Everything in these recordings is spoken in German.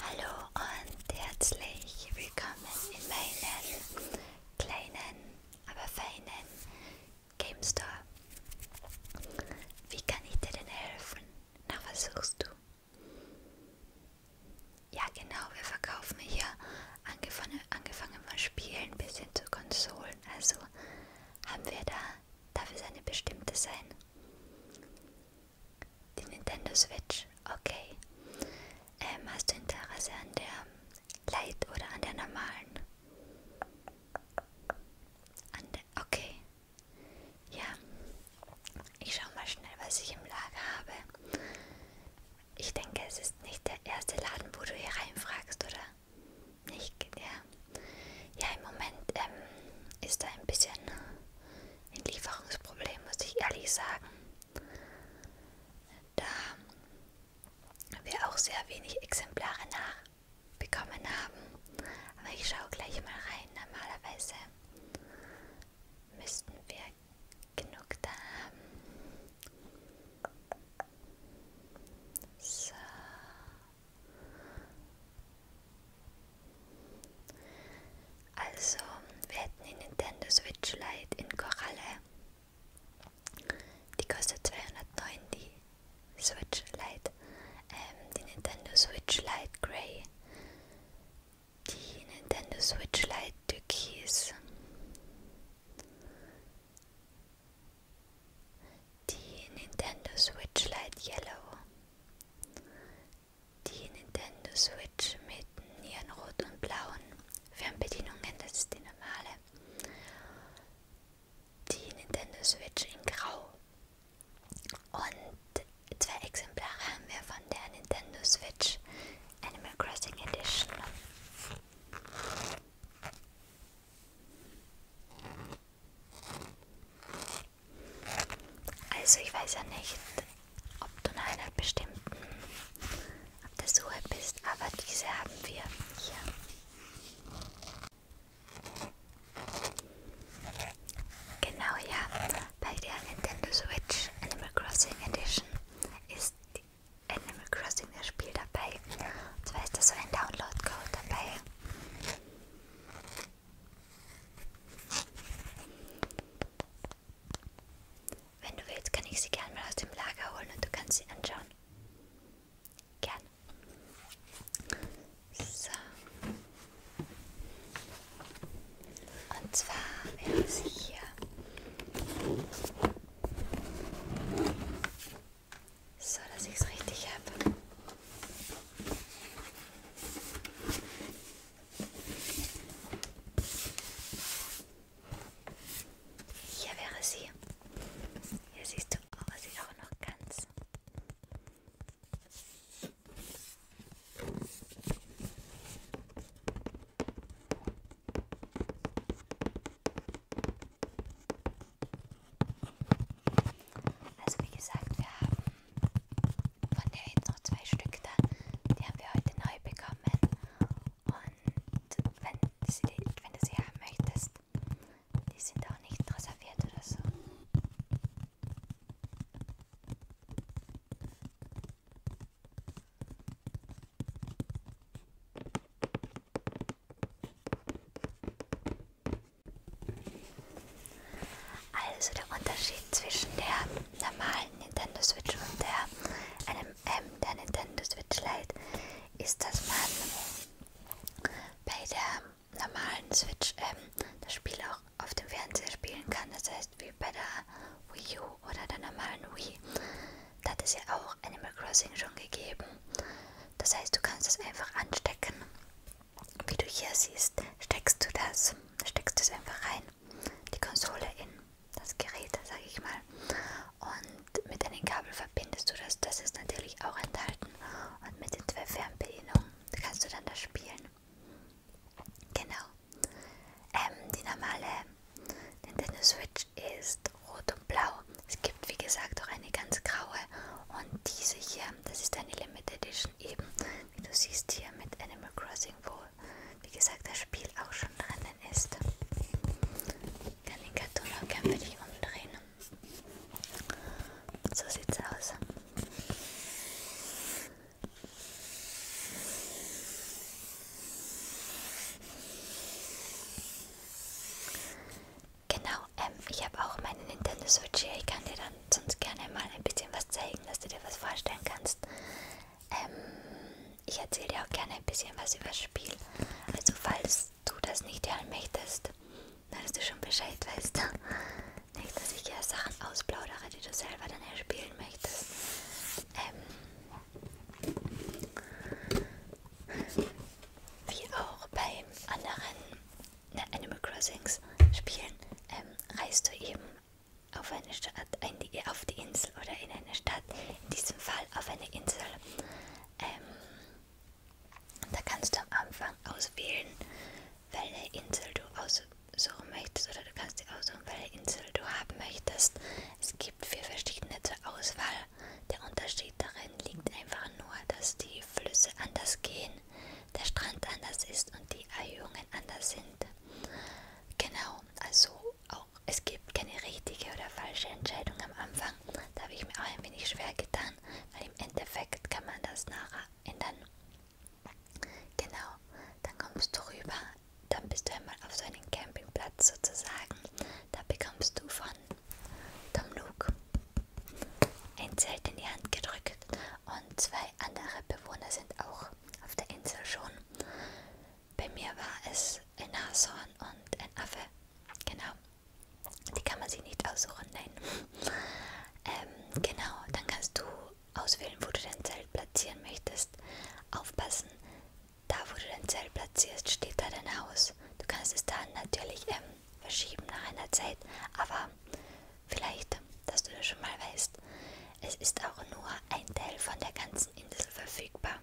Hallo und herzlich willkommen in meinem kleinen, aber feinen Game Store. Wie kann ich dir denn helfen? Nach was suchst du? Ja genau, wir verkaufen hier angefangen, angefangen von Spielen bis hin zu Konsolen. Also haben wir da, darf es eine bestimmte sein? Die Nintendo Switch, okay. Ähm, hast du Interesse an der Light oder an der normalen? An der, okay. Ja. Ich schau mal schnell, was ich im Lager habe. Ich denke, es ist nicht der erste Laden, wo du hier reinfragst, oder? Nicht, ja. Ja, im Moment ähm, ist da ein bisschen ein Lieferungsproblem, muss ich ehrlich sagen. Da wir auch sehr wenig Exemplare nachbekommen haben. Aber ich schaue gleich mal rein. Normalerweise müssten wir genug da haben. So. Also, wir hätten die Nintendo Switch Lite in Koralle. Die kostet 209, die Switch Lite. Ähm, die Nintendo Switch Lite Grey. Die Nintendo Switch Lite Türkis die Nintendo Switch Light Yellow, die Nintendo Switch mit Nierenrot und Blauen Fernbedienungen, das ist die normale, die Nintendo Switch in Grau und zwei Exemplare haben wir von der Nintendo Switch Animal Crossing Edition. Also ich weiß ja nicht, ob du nach einer bestimmten auf der Suche bist, aber diese haben wir hier. Genau ja, bei der Nintendo Switch Animal Crossing Edition ist Animal Crossing das Spiel dabei. Und zwar ist da so ein Download-Code dabei. Wenn du willst, kann ich sie gerne mal aus dem Lager holen und du kannst sie anschauen. Gern. So. Und zwar wäre sie hier. So, dass ich es richtig habe. Hier wäre sie. Hier siehst du, aber sie auch noch ganz. Also wie gesagt, wir haben von der jetzt noch zwei Stück da. Die haben wir heute neu bekommen. Und wenn, sie, wenn du sie haben möchtest, die sind auch nicht reserviert oder so. Also der Unterschied zwischen der normalen Nintendo Switch und der NMM, der Nintendo Switch Lite, ist, dass man bei der normalen Switch ähm, das Spiel auch auf dem Fernseher spielen kann. Das heißt, wie bei der Wii U oder der normalen Wii, da hat es ja auch Animal Crossing schon gegeben. Das heißt, du kannst es einfach anstecken. Wie du hier siehst, steckst du das, steckst es einfach rein, die Konsole in das Gerät, sage ich mal. Und mit einem Kabel verbindest du das, das ist natürlich auch enthalten. Und mit den zwei Fernbedienungen kannst du dann das spielen. Genau. Ähm, die normale Nintendo Switch ist ist rot und blau. Es gibt wie gesagt auch eine ganz graue und diese hier, das ist eine Limited Edition eben, wie du siehst hier mit Animal Crossing, wo wie gesagt das Spiel auch schon drinnen ist. Ich kann den Karton auch gerne für dich umdrehen. So sieht's aus. Genau, ähm, ich habe auch meinen Nintendo Switch hier. Ich kann dir dann sonst gerne mal ein bisschen was zeigen, dass du dir was vorstellen kannst. Ähm, ich erzähle dir auch gerne ein bisschen was über das Spiel. Also falls du das nicht hören möchtest, dann dass du schon Bescheid weißt. Nicht, dass ich ja Sachen ausplaudere, die du selber dann erspielen möchtest. Ähm, wie auch bei anderen ne, Animal Crossings Spielen, ähm, reist du eben auf eine Stadt, ein, auf die Insel oder in eine Stadt, in diesem Fall auf eine Insel. Ähm, da kannst du am Anfang auswählen, welche Insel du aussuchen möchtest oder du kannst dir aussuchen, welche Insel du haben möchtest. Es gibt vier verschiedene zur Auswahl der Unterschied darin liegt einfach nur, dass die Flüsse anders gehen, der Strand anders ist und die Erhöhungen anders sind. Genau, also auch es gibt keine richtige oder falsche Entscheidung am Anfang. Da habe ich mir auch ein wenig schwer getan, weil im Endeffekt kann man das nachher ändern. Genau, dann kommst du rüber, dann bist du einmal auf so einem Campingplatz sozusagen. Da bekommst du von Tomluk. Ein Zelt in die Hand gedrückt und zwei andere Bewohner sind auch auf der Insel schon. Bei mir war es ein Nashorn und ein Affe. Genau. Die kann man sich nicht aussuchen, nein. ähm, genau, dann kannst du auswählen, wo du dein Zelt platzieren möchtest. Aufpassen, da, wo du dein Zelt platzierst, steht da dein Haus. Du kannst es dann natürlich ähm, verschieben nach einer Zeit, aber vielleicht, dass du das schon mal weißt. Es ist auch nur ein Teil von der ganzen Insel verfügbar,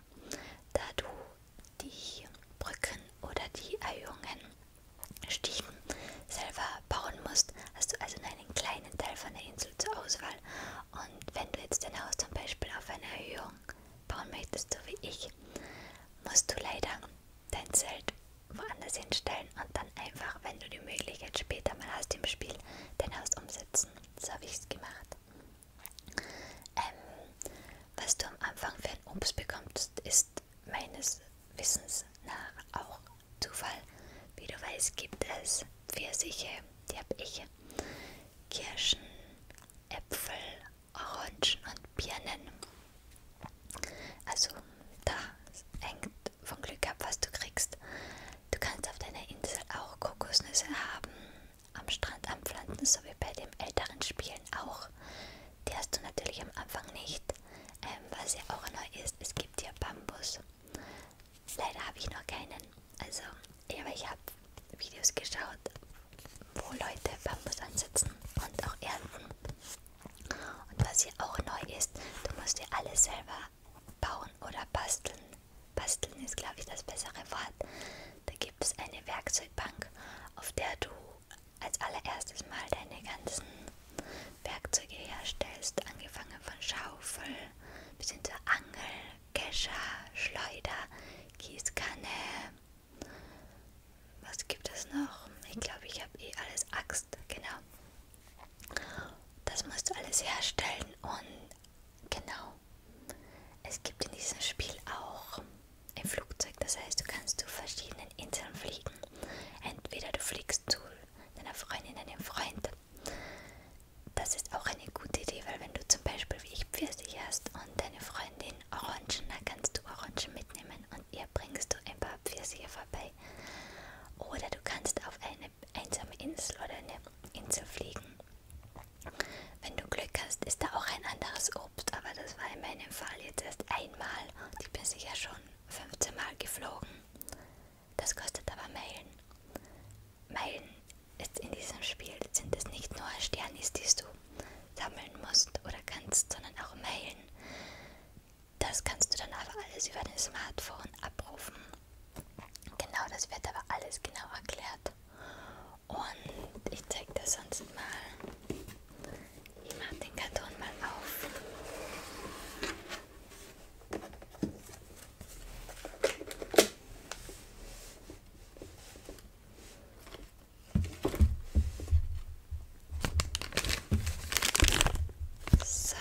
da du die Brücken oder die Erhöhungen, Stiegen selber bauen musst, hast du also nur einen kleinen Teil von der Insel zur Auswahl. Und wenn du jetzt dein Haus zum Beispiel auf eine Erhöhung bauen möchtest, so wie ich, musst du leider dein Zelt woanders hinstellen und dann einfach, wenn du die Möglichkeit später mal hast im Spiel, dein Haus umsetzen. So habe ich es gemacht. Ähm, was du am Anfang für ein Obst bekommst, ist meines Wissens nach auch Zufall. Wie du weißt, gibt es Pfirsiche, die habe ich, Kirschen, Äpfel Orangen und Birnen. Also da hängt vom Glück ab, was du kriegst. Du kannst auf deiner Insel auch Kokosnüsse haben, am Strand anpflanzen, so wie bei den älteren Spielen auch. Die hast du natürlich am Anfang nicht, ähm, was ja auch neu ist. Es gibt hier Bambus. Leider habe ich noch keinen. Also, ja, aber ich habe Videos geschaut, wo Leute Bambus ansetzen und auch ernten. Und was hier auch neu ist, du musst dir alles selber bauen oder basteln. Basteln ist, glaube ich, das bessere Wort. Da gibt es eine Werkzeugbank, auf der du als allererstes mal deine ganzen Werkzeuge herstellst, angefangen von Schaufel bis hin zur Angel Kescher, Schleuder, Gießkanne. Was gibt es noch? Ich glaube, ich habe eh alles Axt, genau. Das musst du alles herstellen und genau. Es gibt in diesem Spiel auch ein Flugzeug, das heißt, du kannst zu verschiedenen Inseln fliegen. Entweder du fliegst zu deiner Freundin, deinem Freund, das ist auch eine gute Idee, weil wenn du zum Beispiel wie ich Pfirsich hast und deine Freundin Orangen, dann kannst du Orangen mitnehmen und ihr bringst du ein paar Pfirsiche vorbei. Oder du kannst auf eine einsame Insel oder eine Insel fliegen. Wenn du Glück hast, ist da auch ein anderes Obst, aber das war in meinem Fall jetzt erst einmal und ich bin sicher schon 15 Mal geflogen. Das kostet aber Meilen Meilen ist in diesem Spiel sind es nicht nur Sternis, die du sammeln musst oder kannst, sondern auch Meilen. Das kannst du dann aber alles über dein Smartphone abrufen. Genau, das wird aber alles genau erklärt. Und ich zeig das sonst mal. Ich mache den Karton mal auf. So.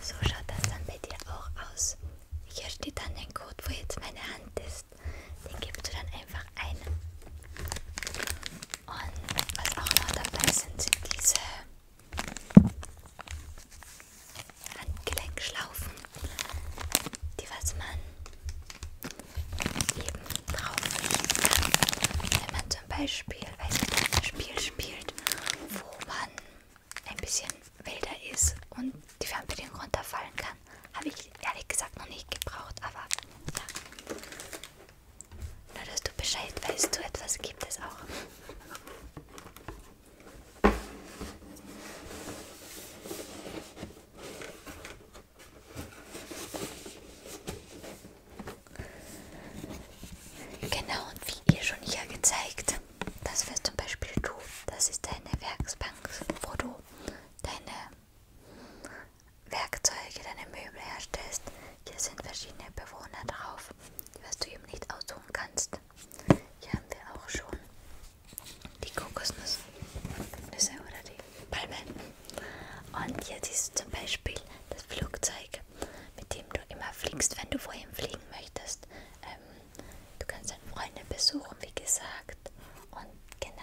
so schaut das dann bei dir auch aus. Hier steht dann ein Code, wo jetzt meine Hand ist. Den gibst du dann einfach ein. Und was auch noch dabei sind, sind diese Handgelenkschlaufen, die was man eben drauflegen kann, wenn man zum Beispiel, weiß ich, ein Spiel spielt, wo man ein bisschen wilder ist und die Fernbedienung runterfallen kann. Habe ich ehrlich gesagt noch nicht gebraucht, aber ja. Nur, dass du Bescheid weißt, so etwas gibt es auch. Genau, und wie ihr schon hier gezeigt, das wirst zum Beispiel du, das ist deine Werksbank, wo du deine Werkzeuge, deine Möbel herstellst. Hier sind verschiedene Bewohner drauf, die was du eben nicht aussuchen kannst. Hier haben wir auch schon die Kokosnüsse Nüsse oder die Palmen. Und hier siehst du zum Beispiel das Flugzeug, mit dem du immer fliegst, wenn du vorhin fliegen möchtest. Ähm, du kannst dann Freunde besuchen, wie gesagt. Und genau.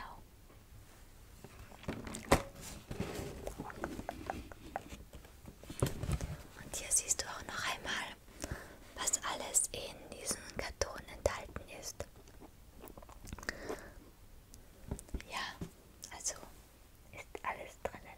Und hier siehst du auch noch einmal, was alles in diesem Karton enthalten ist. Ja, also ist alles drinnen.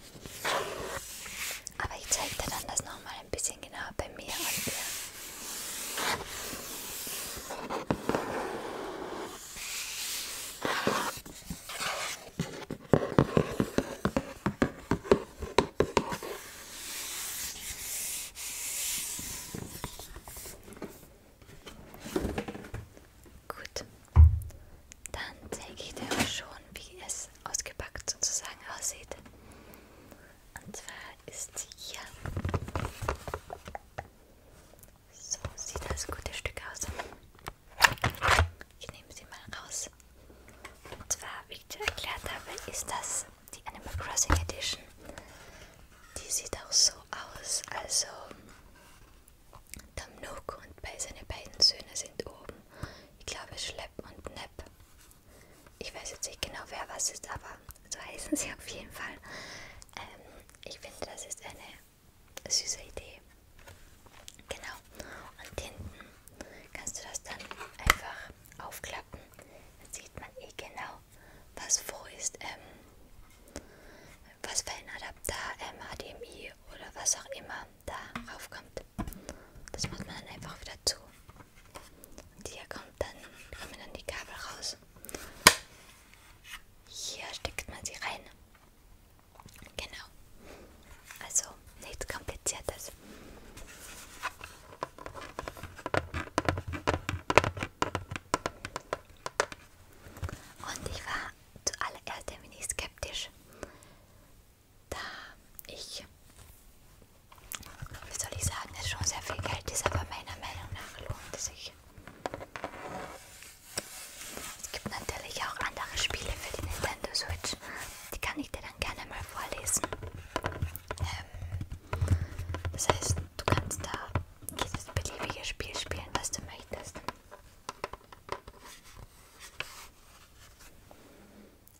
Aber ich zeige dir dann das nochmal ein bisschen genauer bei mir und dir. Gut, dann zeige ich dir schon, wie es es ausgepackt sozusagen aussieht. Und zwar ist hier. So sieht das gute Stück aus. Ich nehme sie mal raus. Und zwar, wie ich dir erklärt habe, ist das die Animal Crossing Edition. Die sieht auch so aus. Also, Tom Nook und seine beiden Söhne sind oben ich glaube Schlepp und Nepp. Ich weiß jetzt nicht genau, wer was ist, aber so heißen sie auf jeden Fall. Ähm, ich finde, das ist eine süße Idee. Genau. Und hinten kannst du das dann einfach aufklappen. Dann sieht man eh genau, was wo ist. Ähm, was für ein Adapter, ähm, HDMI oder was auch immer da raufkommt. Das macht man dann einfach wieder zu. Und hier kommt dann, kommen dann die Kabel raus. Hier steckt man sie rein. Genau. Also nichts kompliziertes. Und ich war zuallererst ein wenig skeptisch da ich, wie soll ich sagen, es schon sehr viel Geld ist, aber meiner Meinung nach lohnt es sich. Es gibt natürlich auch andere Spiele für die Nintendo Switch, die kann ich dir dann gerne mal vorlesen. Ähm, das heißt, du kannst da jedes beliebige Spiel spielen, was du möchtest.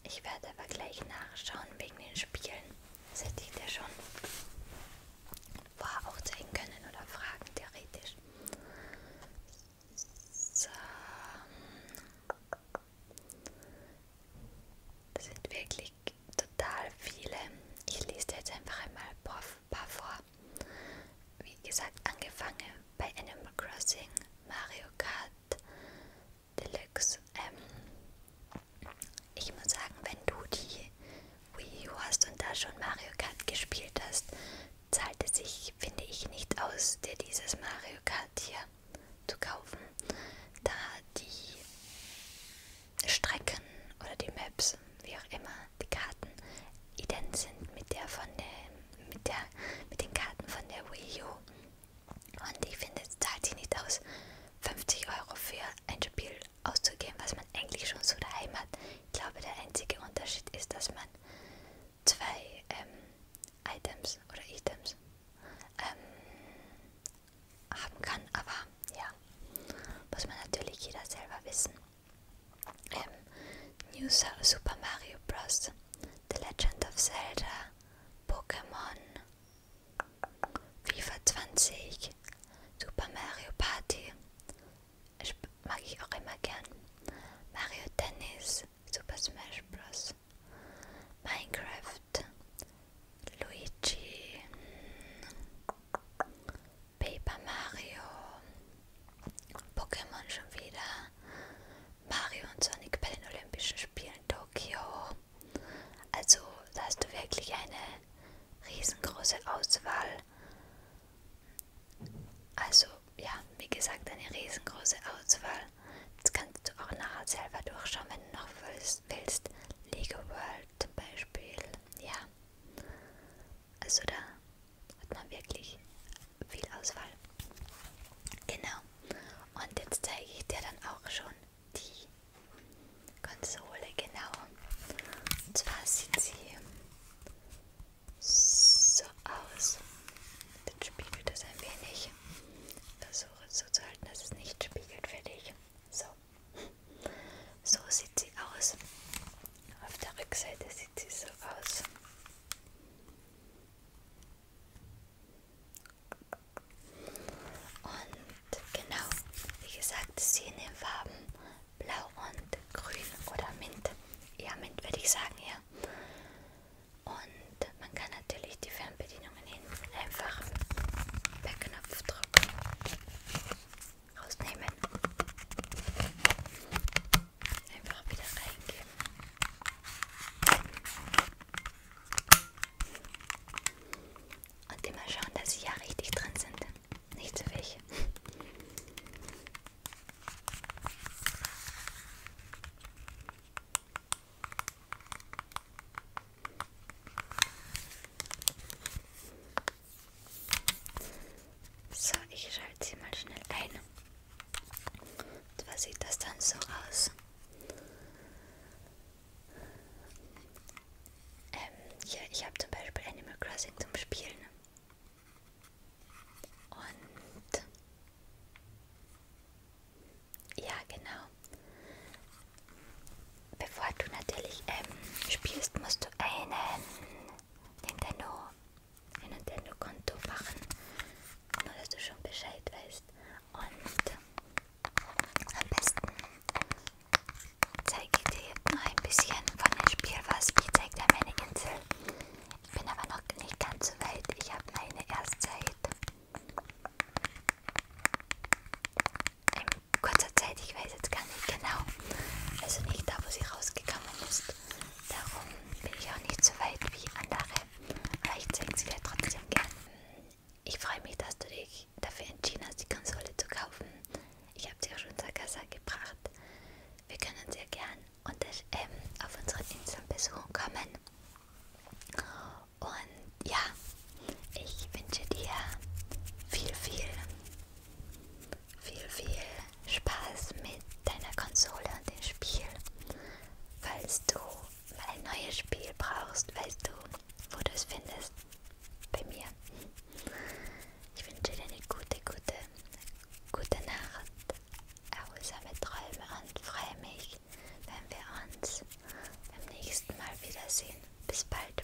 Ich werde aber gleich nachschauen wegen den Spielen. Das hätte ich dir schon vorher auch zeigen können oder fragen, theoretisch. So. Das sind wirklich total viele. Ich lese jetzt einfach einmal ein paar vor. Wie gesagt, angefangen bei Animal Crossing Mario Kart Deluxe. Ähm, ich muss sagen, wenn du die Wii U hast und da schon Mario Kart gespielt hast, zahlt es sich, finde ich, nicht aus, dir dieses Mario Kart hier zu kaufen, da die Strecken oder die Maps, wie auch immer, die Karten ident sind mit der von dem mit, der, mit den Karten von der Wii U. Und ich finde, es zahlt sich nicht aus, 50 Euro für ein Spiel auszugeben, was man eigentlich schon so daheim hat. Ich glaube, der einzige Unterschied ist, dass man zwei ähm, Items oder Items ähm, haben kann. Aber ja, muss man natürlich jeder selber wissen ähm, New Super Mario Bros., The Legend of Zelda, Pokémon, FIFA 20, Super Mario Party, mag ich auch immer gern, Mario Tennis, Super Smash Bros., Minecraft, Luigi, Paper Mario, Pokémon schon wieder, Mario und Sonic bei den Olympischen Spielen Tokio. Also da hast du wirklich eine riesengroße Auswahl. Also ja, wie gesagt, eine riesengroße Auswahl. Das kannst du auch nachher selber durchschauen, wenn du noch willst. Lego World zum Beispiel, ja. Also da hat man wirklich viel Auswahl. Genau. Und jetzt zeige ich dir dann auch schon die Konsole genau. Und zwar sieht sie so aus. Jetzt spiegelt es ein wenig. Versuche es so zu halten, dass es nicht spiegelt für dich. So. So sieht sie aus. Auf der Rückseite sieht sie so aus. Und genau, wie gesagt, sie in den Farben Blau und Grün oder Mint. Ja, Mint würde ich sagen, ja. Und man kann natürlich die Fernbedienungen hinten einfach per Knopfdruck rausnehmen einfach wieder reingeben. Und immer schauen, dass sie ja richtig drin sind. Nicht zu so welche. So, ich schalte sie mal schnell ein. Und was sieht das dann so aus? Ähm, hier, ich habe zum Beispiel Animal Crossing zum Spielen. Und ja, genau. Bevor du natürlich ähm, spielst, musst du einen Nintendo ein Nintendo-Konto machen, nur dass du schon Bescheid weißt. Und am besten zeige ich dir jetzt noch ein bisschen von dem Spiel was. Wie zeigt er meine Insel? Ich bin aber noch nicht ganz so weit. Ich habe meine erst seit in kurzer Zeit, ich weiß weiß jetzt gar nicht genau. Also nicht da, wo sie rausgekommen ist. Darum bin ich auch nicht so weit wie andere. Aber ich zeige sie dir trotzdem gern. Ich freue mich, dass du dich dafür entschieden hast, die Konsole zu kaufen. Ich habe sie auch schon zur Casa gebracht. Wir können sehr gern und, ähm, auf unseren Inseln besuchen kommen. Und ja, ich wünsche dir viel, viel viel, viel Spaß mit deiner Konsole und dem Spiel. Falls du ein neues Spiel brauchst, weißt du, wo du es findest. Bei mir. Ich wünsche dir eine gute, gute, gute Nacht, erholsame Träume und freue mich, wenn wir uns beim nächsten Mal wiedersehen. Bis bald.